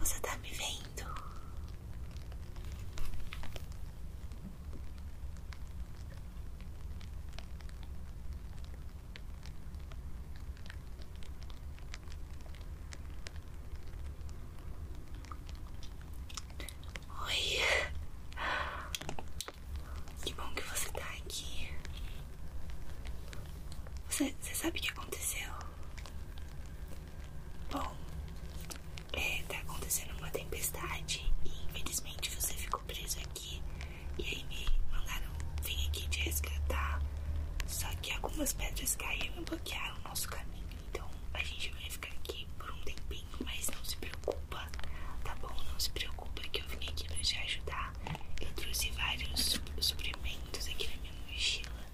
Você está me vendo? Oi, que bom que você tá aqui. Você, sabe o que aconteceu? Bom, é, tá acontecendo uma tempestade e infelizmente você ficou preso aqui. E aí me mandaram vir aqui te resgatar. Só que algumas pedras caíram e bloquearam o nosso caminho. Então a gente vai ficar aqui por um tempinho, mas não se preocupa, tá bom? Não se preocupa que eu vim aqui pra te ajudar. Eu trouxe vários suprimentos aqui na minha mochila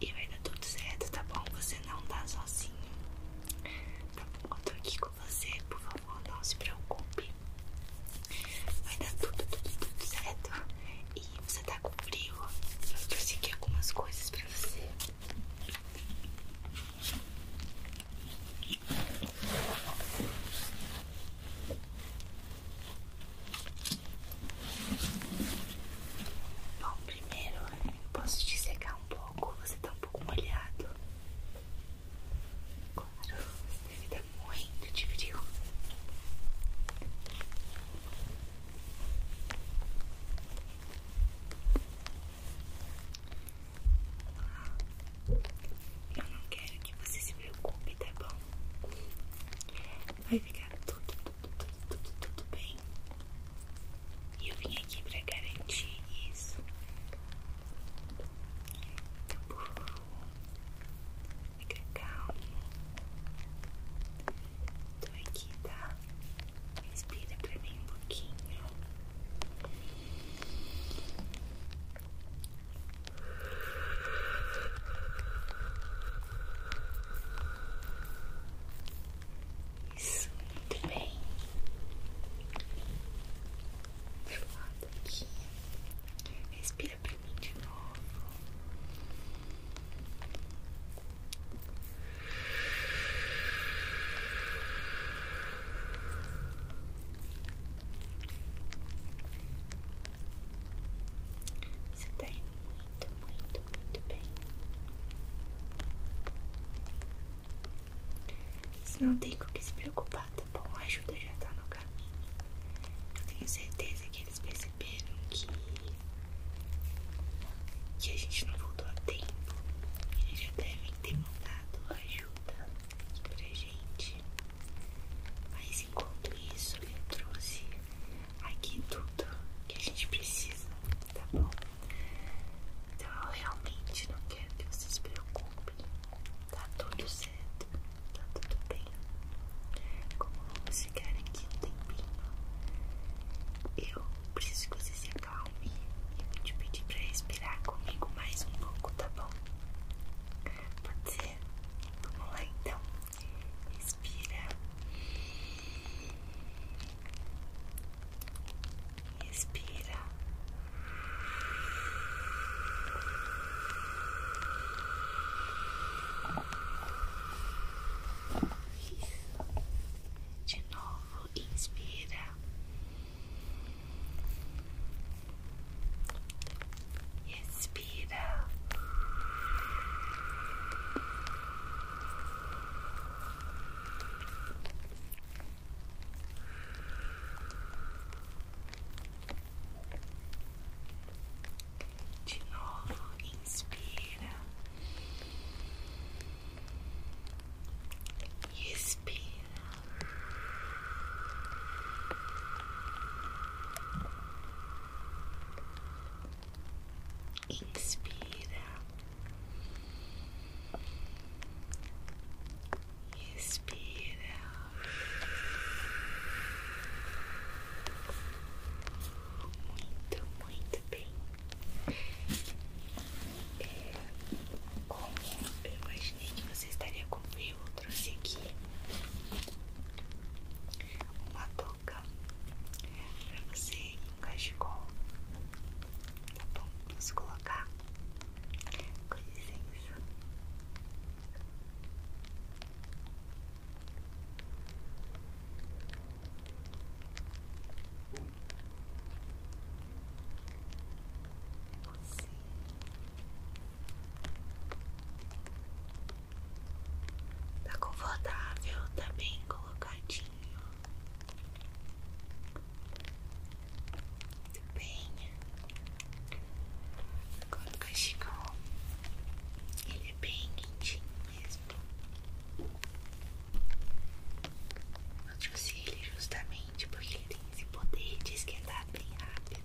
e vai dar tudo certo, tá bom? Você não tá sozinho. Tá Eu tô aqui com você, por favor, não se preocupe. Vai dar tudo, tudo, tudo certo. E você tá com frio? Eu trouxe aqui algumas coisas pra você. Bom, primeiro eu posso te secar um pouco, você está um pouco molhado. Claro, você deve estar morrendo de frio. Eu não quero que você se preocupe, tá bom? Vai ficar tudo, tudo, tudo, tudo, tudo bem. E eu vim aqui pra garantir isso. Então, burro, favor, fica calmo. Tô aqui, tá? Respira pra mim um pouquinho. Isso, muito bem. Do lado aqui. Respira pra mim de novo. Você tá indo muito, muito, muito bem. Você não tem com que se preocupar, tá bom? A ajuda já tá no caminho. Eu tenho certeza que eles perceberam que. que a gente não voltou a tempo. Eles já devem ter mandado ajuda pra gente. Mas enquanto isso, eu trouxe aqui tudo que a gente precisa, tá bom? Então eu realmente não quero que você se preocupe, Tá tudo certo, tá tudo bem. Como vamos ficar aqui um tempinho, eu preciso que você se acalme. e Eu vou te pedir pra respirar comigo mais um pouco, tá bom? Pode ser? Vamos lá então. Respira. Respira. De novo, inspira. Respira. De novo, inspira expira. Inspira, expira, muito, muito bem. É, como eu imaginei que você estaria comigo trouxe aqui uma touca para você ir um cachecol, tá bom? Vamos colocar com licença. Você Tá confortável, tá bem colocadinho. Muito bem. Agora o cachecol, ele é bem quentinho mesmo. Eu te usei ele justamente porque ele tem esse poder de esquentar bem rápido.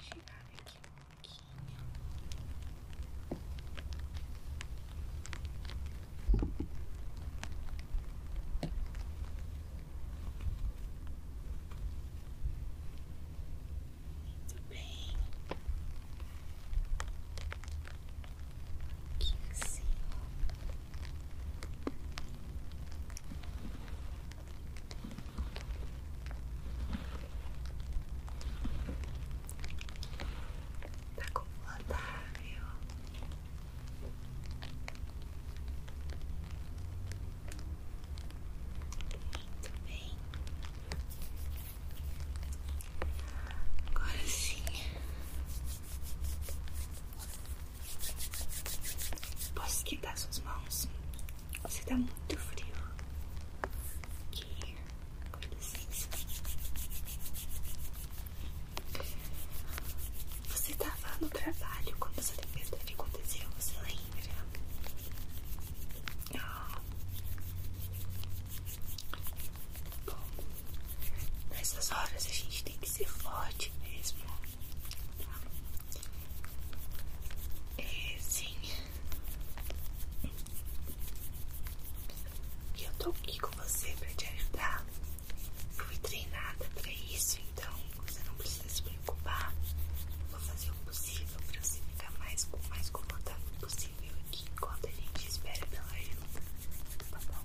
chegar aqui um pouquinho. Muito bem. Aqui assim. Tá confortável. Muito bem. Agora sim. Posso esquentar suas mãos? Você tá muito frio. Aqui, com licença. Você tava no trabalho quando essa tempestade que aconteceu, você lembra? Ah. Bom, nessas horas a gente tem que ser forte mesmo. É, sim. eu tô aqui com você pra te ajudar. Eu fui treinada pra isso, então você não precisa se preocupar. Eu vou fazer o possível pra você ficar mais, o mais confortável possível aqui enquanto a gente espera pela ajuda. Tá bom?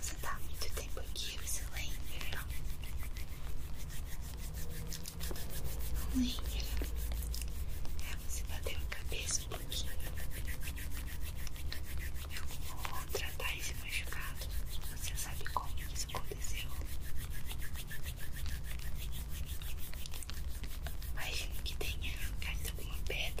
Você tá há muito tempo aqui, você lembra? Não lembra? É, você bateu a cabeça um pouquinho. Vou tratar esse machucado. Você sabe como isso aconteceu? Imagino que tenha caído alguma pedra.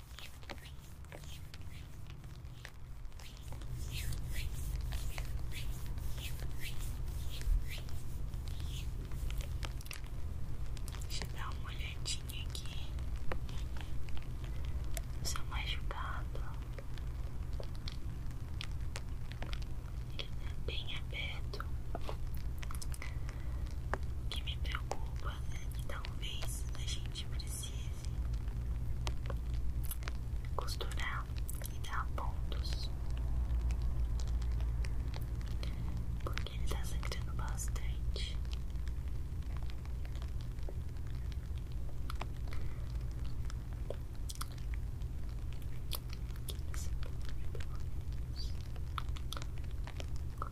Deixa eu dar uma olhadinha aqui no seu machucado. Ele tá bem aberto. O que me preocupa é que talvez a gente precise precise costurar e dar pontos porque ele está sangrando bastante Aqui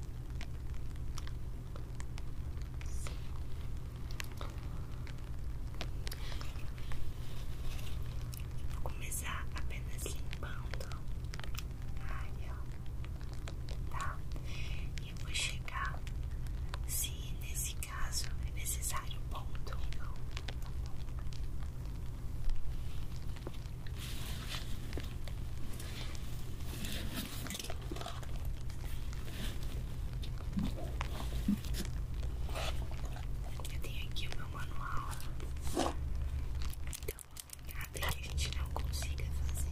Vou começar apenas limpando a área, tá? E vou chegar se nesse caso é necessário ponto eu tenho aqui o meu manual. Então, até que a gente não consiga fazer.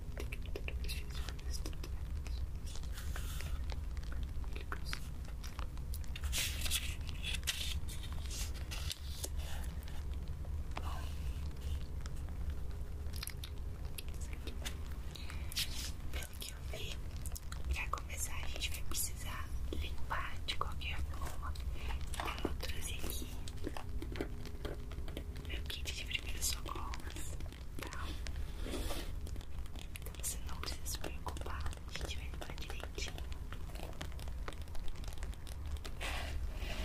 Pelo que eu vi, pra começar a gente vai precisar limpar de qualquer forma. Eu trazer aqui meu kit de primeiros socorros tá? Então você não precisa se preocupar, a gente vai limpar direitinho.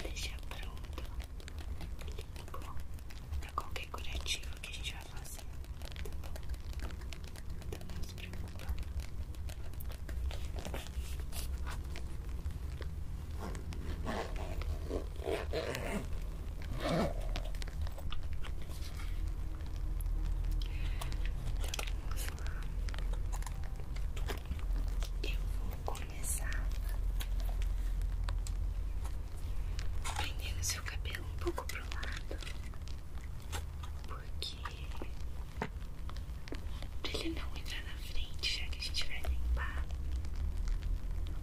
Deixa pronto, limpo pra qualquer coletivo que a gente vai fazer, tá bom? Então não se preocupa vamos lá. Eu vou começar prendendo seu cabelo um pouco pro lado, porque pra ele não entrar na frente, já que a gente vai limpar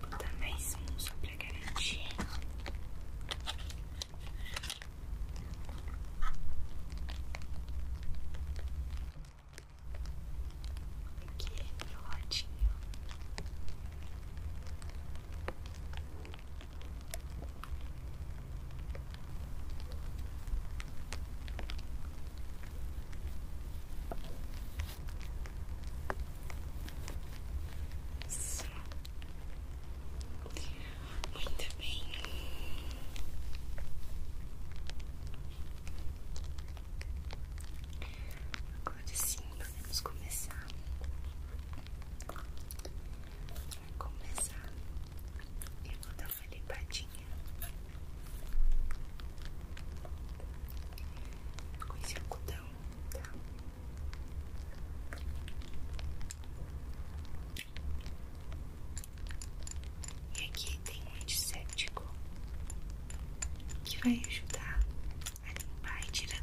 Vou mais um só pra garantir. Aqui, é meu muito bem. Agora sim, podemos começar. Pra começar, eu vou dar uma limpadinha com esse algodão, tá? E aqui tem um antisséptico que vai ajudar a limpar e tirar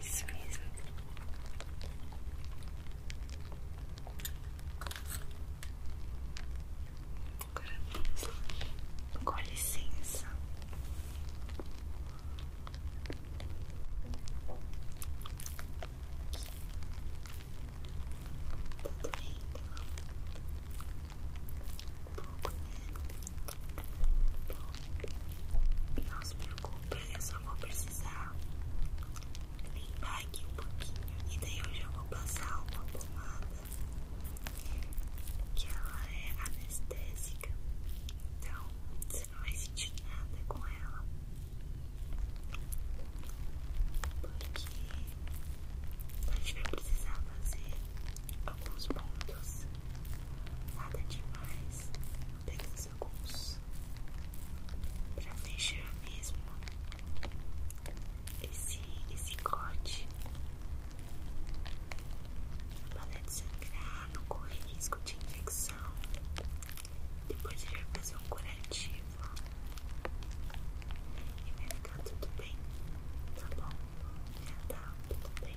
Isso mesmo. Agora Com licença. Tudo bem, roupa eu só vou precisar limpar aqui um pouquinho e daí eu já vou passar uma pomada que ela é anestésica então você não vai sentir nada com ela porque a gente vai precisar fazer alguns pontos nada demais tem que para deixar mesmo esse, esse corte para não sangrar, não correr risco de infecção. Depois ele vai fazer um curativo e vai ficar tudo bem, tá bom? Já tá tudo bem.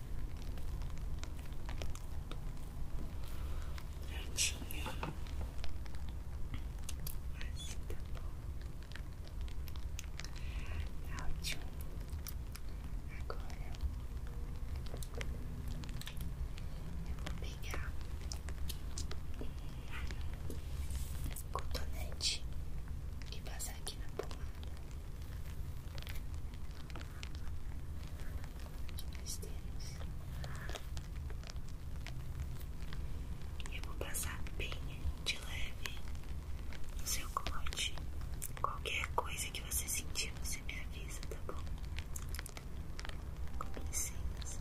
Prontinho. Assim tá bom. Ótimo. Agora eu vou pegar um cotonete e passar aqui na pomada que nós temos. eu vou passar bem de leve no seu corte. Qualquer coisa que você sentir, você me avisa, tá bom? Com licença.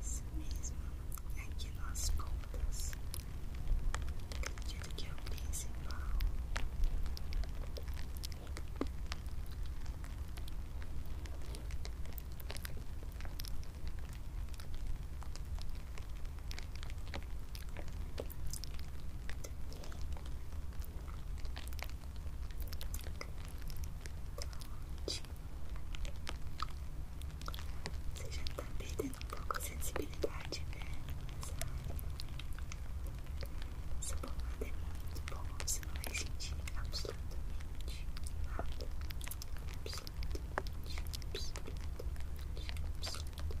Isso mesmo, aqui nas pontas. Acredito que é o principal. Você já tá perdendo um pouco a sensibilidade, né? Nessa área. Essa pomada é muito bom, você não vai sentir absolutamente nada. Absolutamente, absolutamente, absolutamente nada.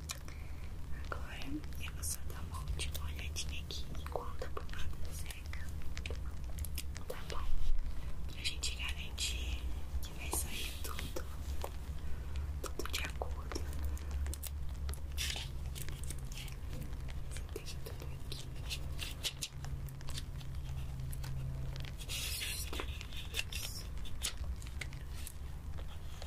Agora eu vou só dar uma última olhadinha aqui enquanto a pomada seca. Tá bom? Pra gente garantir que vai sair tudo, tudo de acordo. Você tudo aqui.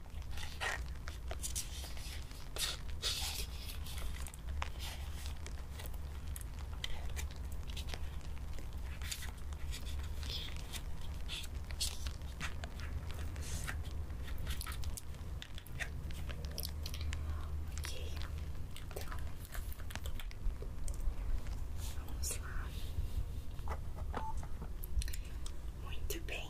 Ok, então vamos lá. Muito bem,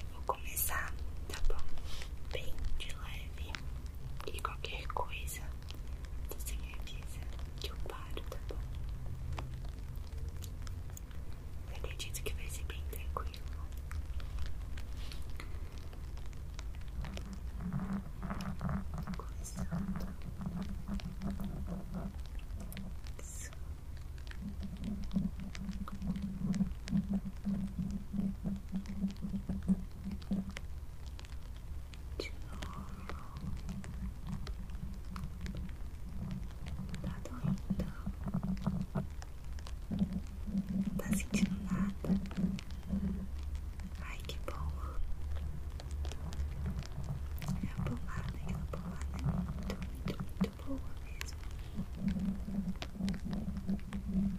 Eu vou começar, tá bom? Bem de leve. E qualquer coisa, você me avisa que eu paro, tá bom? Eu acredito que vai ser bem tranquilo. Começando. Isso. Relaxando de novo. Tá doendo? Tá sentindo nada? Ai, que bom. É a pomada, aquela pomada é muito, muito, muito boa mesmo.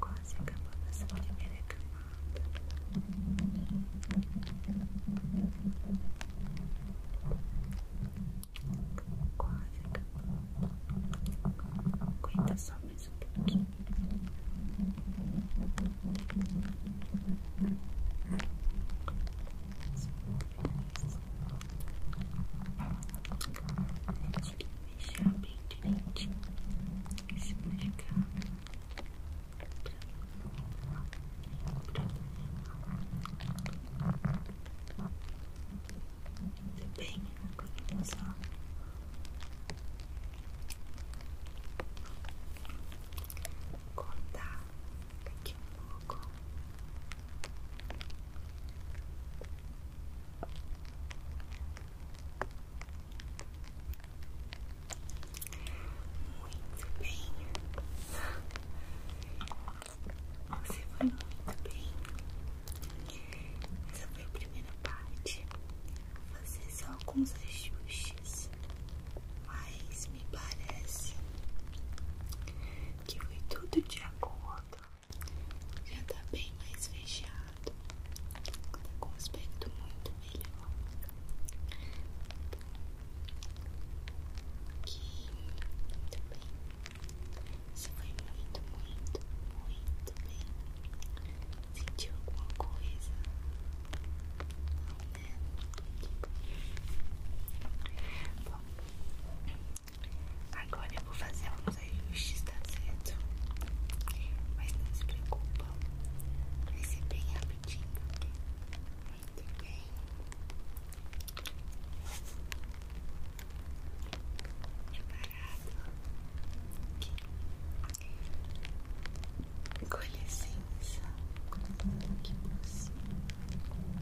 quase acabou essa primeira camada. quase acabou quinta só mais um tem que mexer bem direitinho esse machucado pra não problema. Tudo bem, agora vamos lá. Cortar Daqui um pouco. Muito bem. Você foi muito bem. Essa foi a primeira parte. Vou fazer só alguns ajustes, mas me parece que foi tudo de acordo. Já tá bem mais fechado, tá com um aspecto muito melhor. Que muito bem. Você foi muito, muito, muito bem. Sentiu alguma coisa? Não. Bom, agora eu vou fazer alguns ajustes, tá Mas não se preocupa, vai ser bem rapidinho. Muito bem. Preparado. Com licença, que você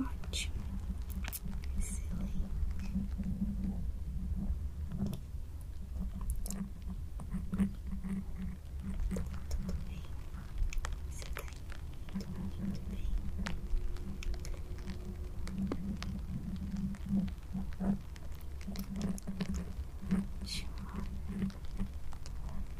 Ótimo, excelente. Tudo bem, você tá indo muito bem. Ótimo.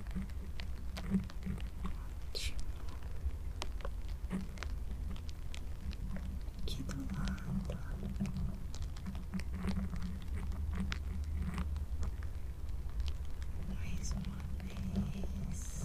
Ótimo. Aqui do lado. Mais uma vez.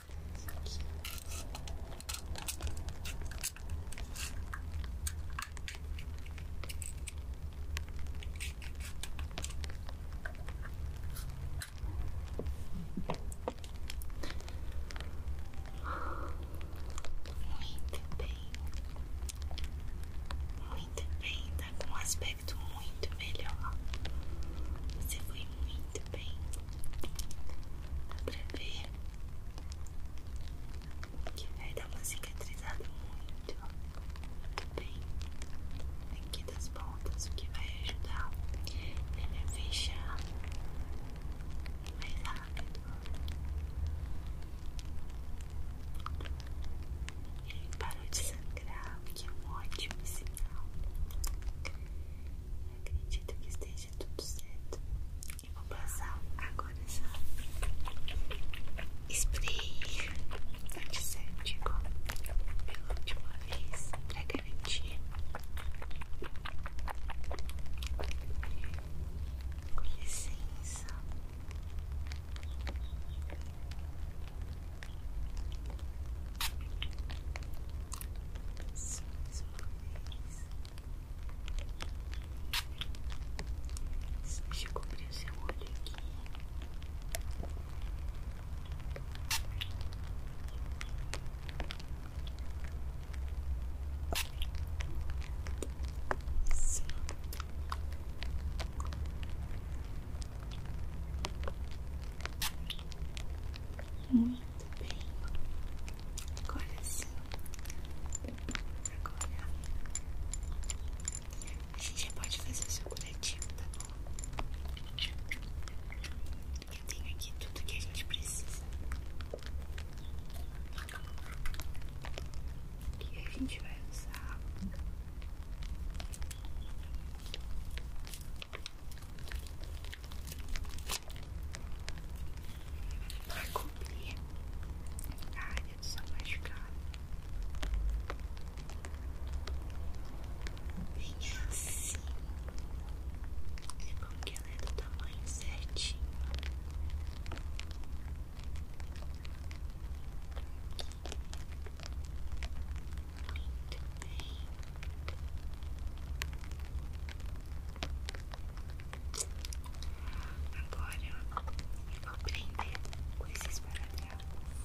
Muito bem, muito bem, tá com um aspecto muito melhor. Você foi muito bem. Dá pra ver que vai dar uma cicatrizada muito, muito bem aqui das pontas, o que vai ajudar ele a fechar mais rápido ele parou de sangrar, o que é um ótimo sinal Acredito que esteja tudo certo. Eu vou passar agora essa spray antisséptico pela última vez para garantir. Com licença só mais uma vez. Deixa eu cobrir seu olho aqui. Muito bem. Agora sim. Agora a gente já pode fazer o seu coletivo tá bom? Eu tenho aqui tudo que a gente precisa. Que a gente vai usar para cobrir a área é do machucado. Bem assim. É bom que ela é do tamanho certinho. Muito bem. Agora eu vou aprender coisas para paradrapos.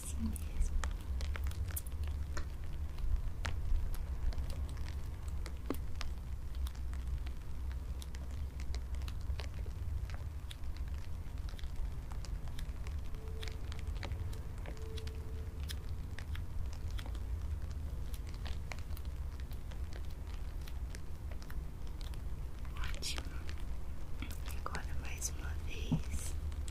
assim mesmo. Ótimo. Agora mais uma vez.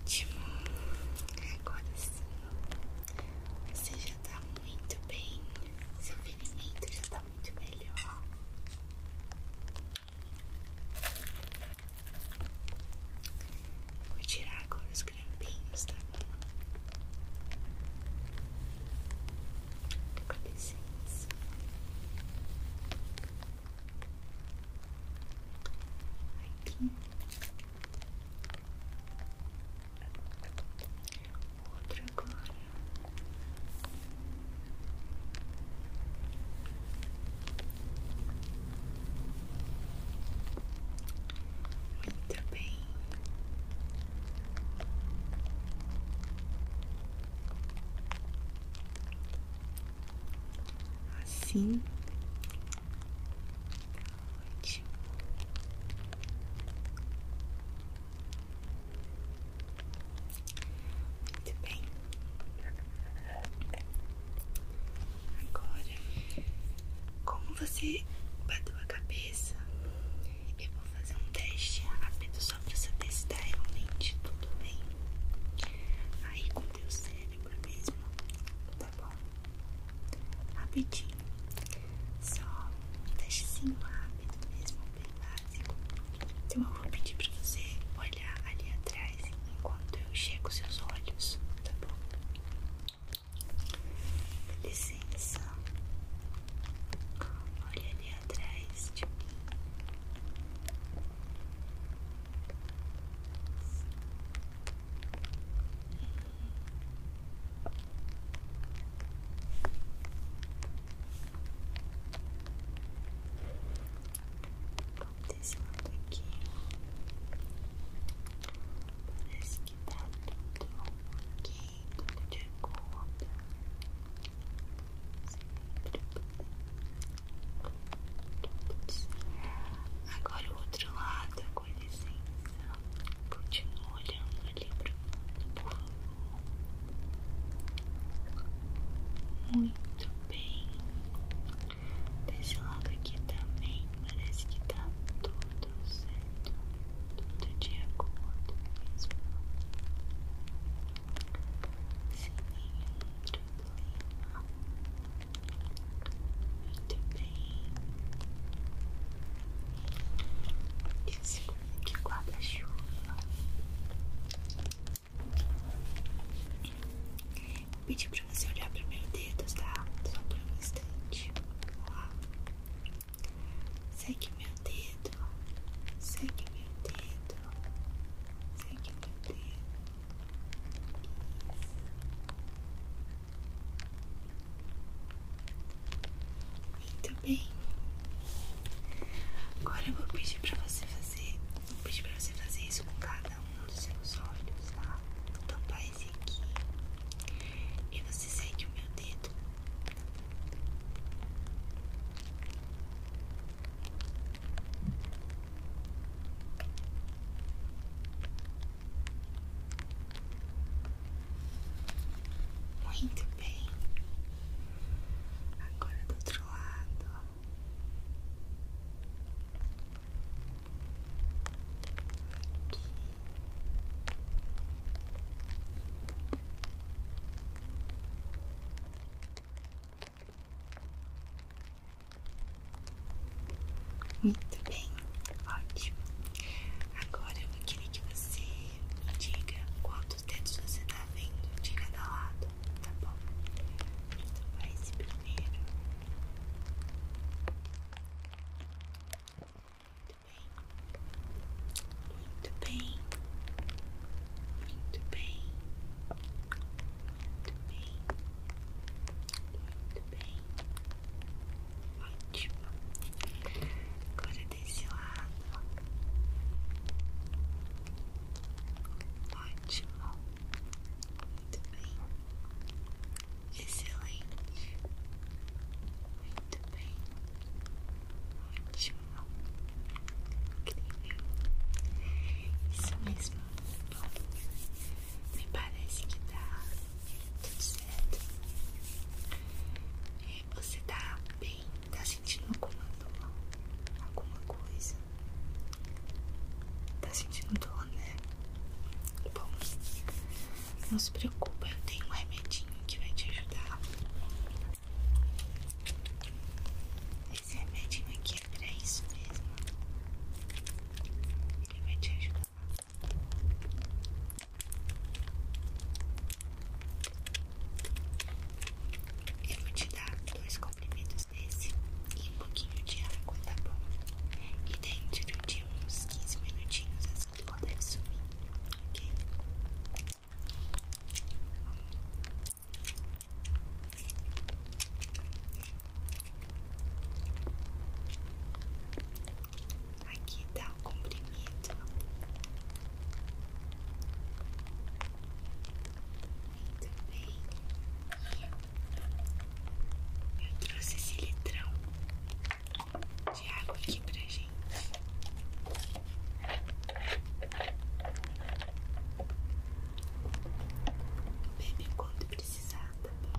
Ótimo, agora sim você já tá muito bem. Seu ferimento já tá muito melhor. Vou tirar agora os grampinhos, tá bom? Com licença. Aqui. Outra agora. Muito bem. Assim Ótimo. Muito bem. Agora, como você bateu a cabeça, eu vou fazer um teste rápido só pra saber se tá realmente tudo bem. Aí com o teu cérebro mesmo, tá bom? rapidinho, só um testezinho rápido mesmo, bem básico. Então eu vou pedir pra você olhar ali atrás enquanto eu chego seus olhos, tá bom? Licença, olha ali atrás de mim. Desse lado aqui parece que tá tudo ok, tudo de acordo. Agora o outro lado, atenção. Continua olhando ali para o mundo, por favor. Muito bem. Desse lado aqui também parece que tá tudo certo. Tudo de acordo mesmo. Sem nenhum problema. Muito bem. Eu seguro aqui guarda-chuva. pedi pedir pra você olhar para meus dedos, tá? Só por um instante. Ó. Segue meu dedo. Segue meu dedo. Segue meu dedo. Isso. Muito bem. Agora eu vou pedir pra você fazer. Vou pedir pra você fazer isso com cada um dos seus olhos, tá? Vou tampar esse aqui. E você segue o meu dedo. Muito muito bem. Agora do outro lado. Muito bem, ótimo. Agora eu queria que você me diga quantos dedos você está vendo de cada lado, tá bom? Então vai esse primeiro. Muito bem. Muito bem. Muito bem. Muito bem. Muito bem. Ótimo. Agora desse lado. Ótimo. Muito bem. Excelente. Muito bem. Ótimo. Incrível. Isso mesmo. me parece que dá tudo certo. É, você tá bem? Tá sentindo alguma dor? Alguma coisa? Tá sentindo dor, né? Bom, não se preocupe, eu tenho um remedinho que vai te ajudar. Esse remedinho aqui é pra isso mesmo. Ele vai te ajudar eu vou te dar dois comprimidos desse e um pouquinho de água, tá bom? E dentro de uns 15 minutinhos essa assim dor deve sumir, ok? Aqui tá o comprimido. Muito bem. Eu trouxe esse litrão de água aqui pra gente. Bebe quando precisar, tá bom?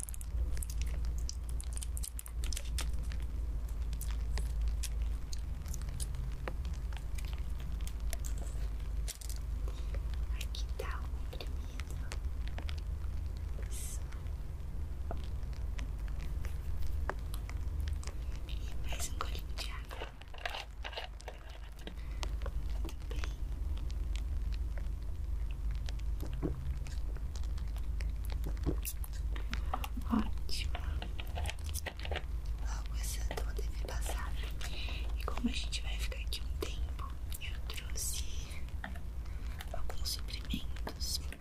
Aqui tá um comprimido. E mais um golinho de água. Muito bem. Ótimo. Logo essa dor deve passar. E como a gente vai ficar aqui um tempo, eu trouxe alguns suprimentos para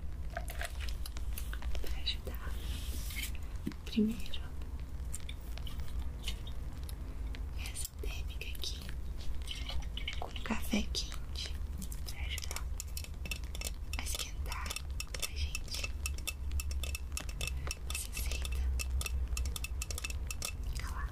ajudar. Primeiro, essa térmica aqui com café quente pra ajudar a esquentar a gente. Você aceita? Fica lá.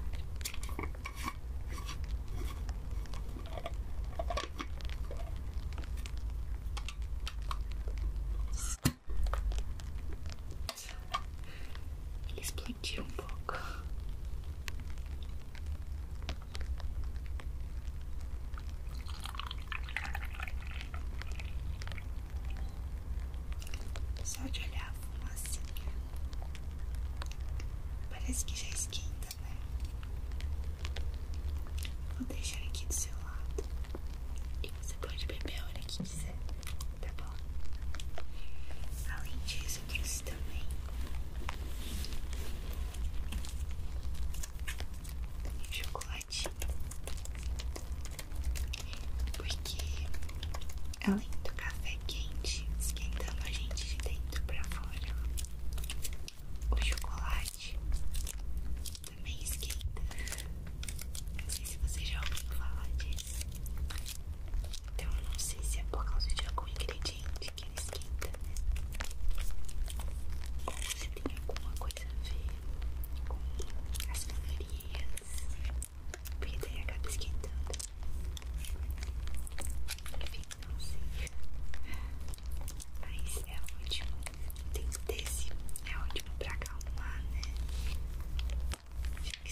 Ele explodiu um pouco. Só de olhar a fumacinha. Parece que já esquenta, né? Vou deixar aqui do seu lado. E você pode beber a hora que quiser, tá bom? Além disso, eu trouxe também. E chocolatinho. Porque além do café quente esquentando a gente de dentro pra fora, o chocolate também esquenta. Não sei se você já ouviu falar disso. Então eu não sei se é por causa de algum ingrediente que ela esquenta, né? se tem alguma coisa a ver com as calorias, porque daí acaba esquentando. Enfim, não sei. Mas é ótimo. Tem desse, é ótimo pra acalmar, né? Já que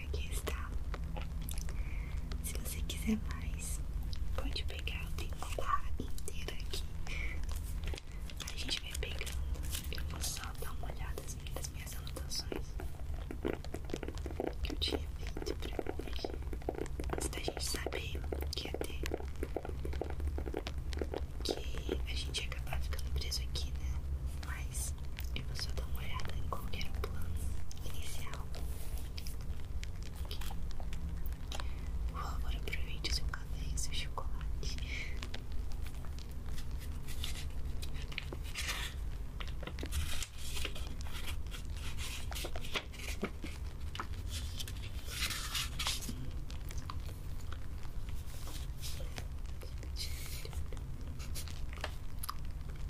aqui está. Se você quiser mais, pode pegar. Eu tenho uma barra inteira aqui. A gente vai pegando. Eu vou só dar uma olhada nas minhas, anotações que eu tinha feito pra hoje. Antes da gente saber que ia ter. Que a gente ia acabar ficando preso aqui, né? Mas eu vou só dar uma olhada em qualquer plano inicial por favor, aproveite o seu café e chocolate.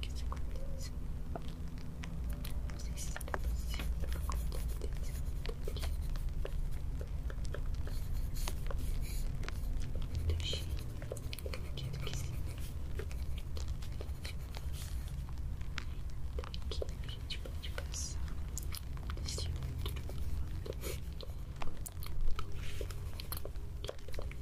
que isso acontece. Não sei se será possível, acontece muito muito cheio, quero que se Aqui a gente pode passar desse outro lado.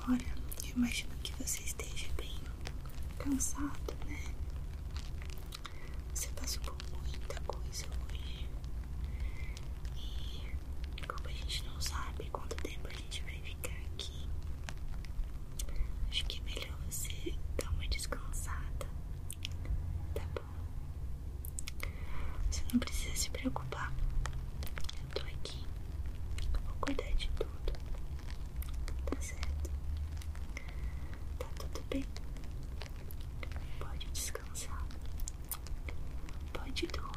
Agora, eu imagino que você esteja bem cansado, né? Você passou por muita coisa hoje. E como a gente não sabe quanto tempo a gente vai ficar aqui. Acho que é melhor você dar uma descansada, tá bom? Você não precisa se preocupar. Eu tô aqui. Vou cuidar de tudo. Tá certo? Tá tudo bem? Pode descansar. Pode dormir.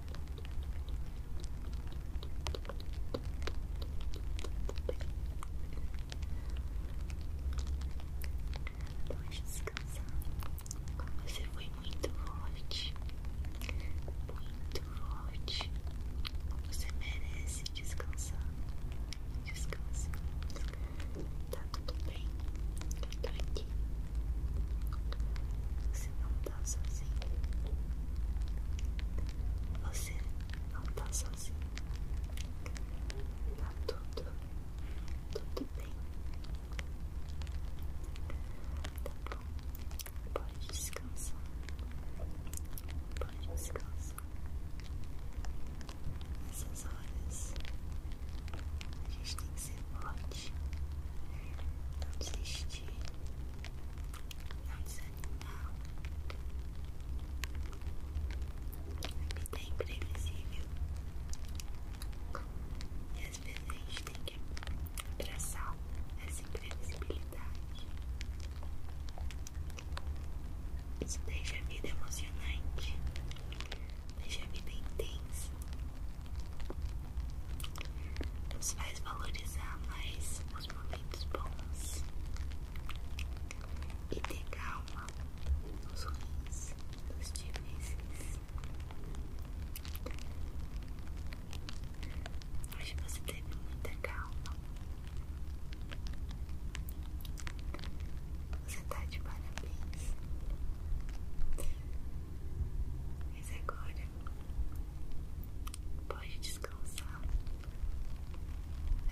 Pode descansar. Você foi muito forte. Muito forte. Você merece descansar. Descansa. Tá tudo bem. Eu tá tô aqui. Você não tá sozinho. Você não tá sozinho. Tá tudo, tudo bem. Tá bom. Pode descansar. Pode descansar. Nessas horas a gente tem que ser forte. Não desistir. Não desistir. A vida é imprevisível e às vezes a gente tem que abraçar essa imprevisibilidade. Isso deixa a vida emocionante, deixa a vida intensa, nos faz valorizar mais os momentos bons e ter calma nos ruins, nos difíceis. Hoje você teve muita calma. Você está de parabéns. Mas agora Pode descansar.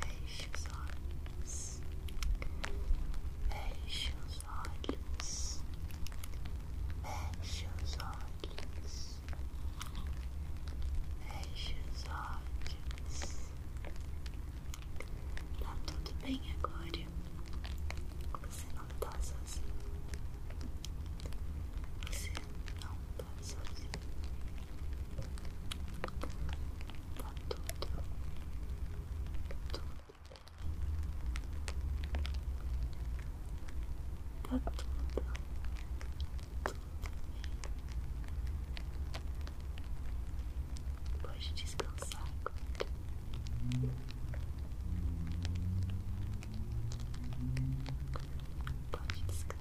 Feche os olhos. Feche os olhos. Feche os olhos. Feche os olhos. Tá tudo bem agora. Você não tá sozinho. Você não peças tá tudo tudo tá tudo tudo bem pode descansar agora pode descansar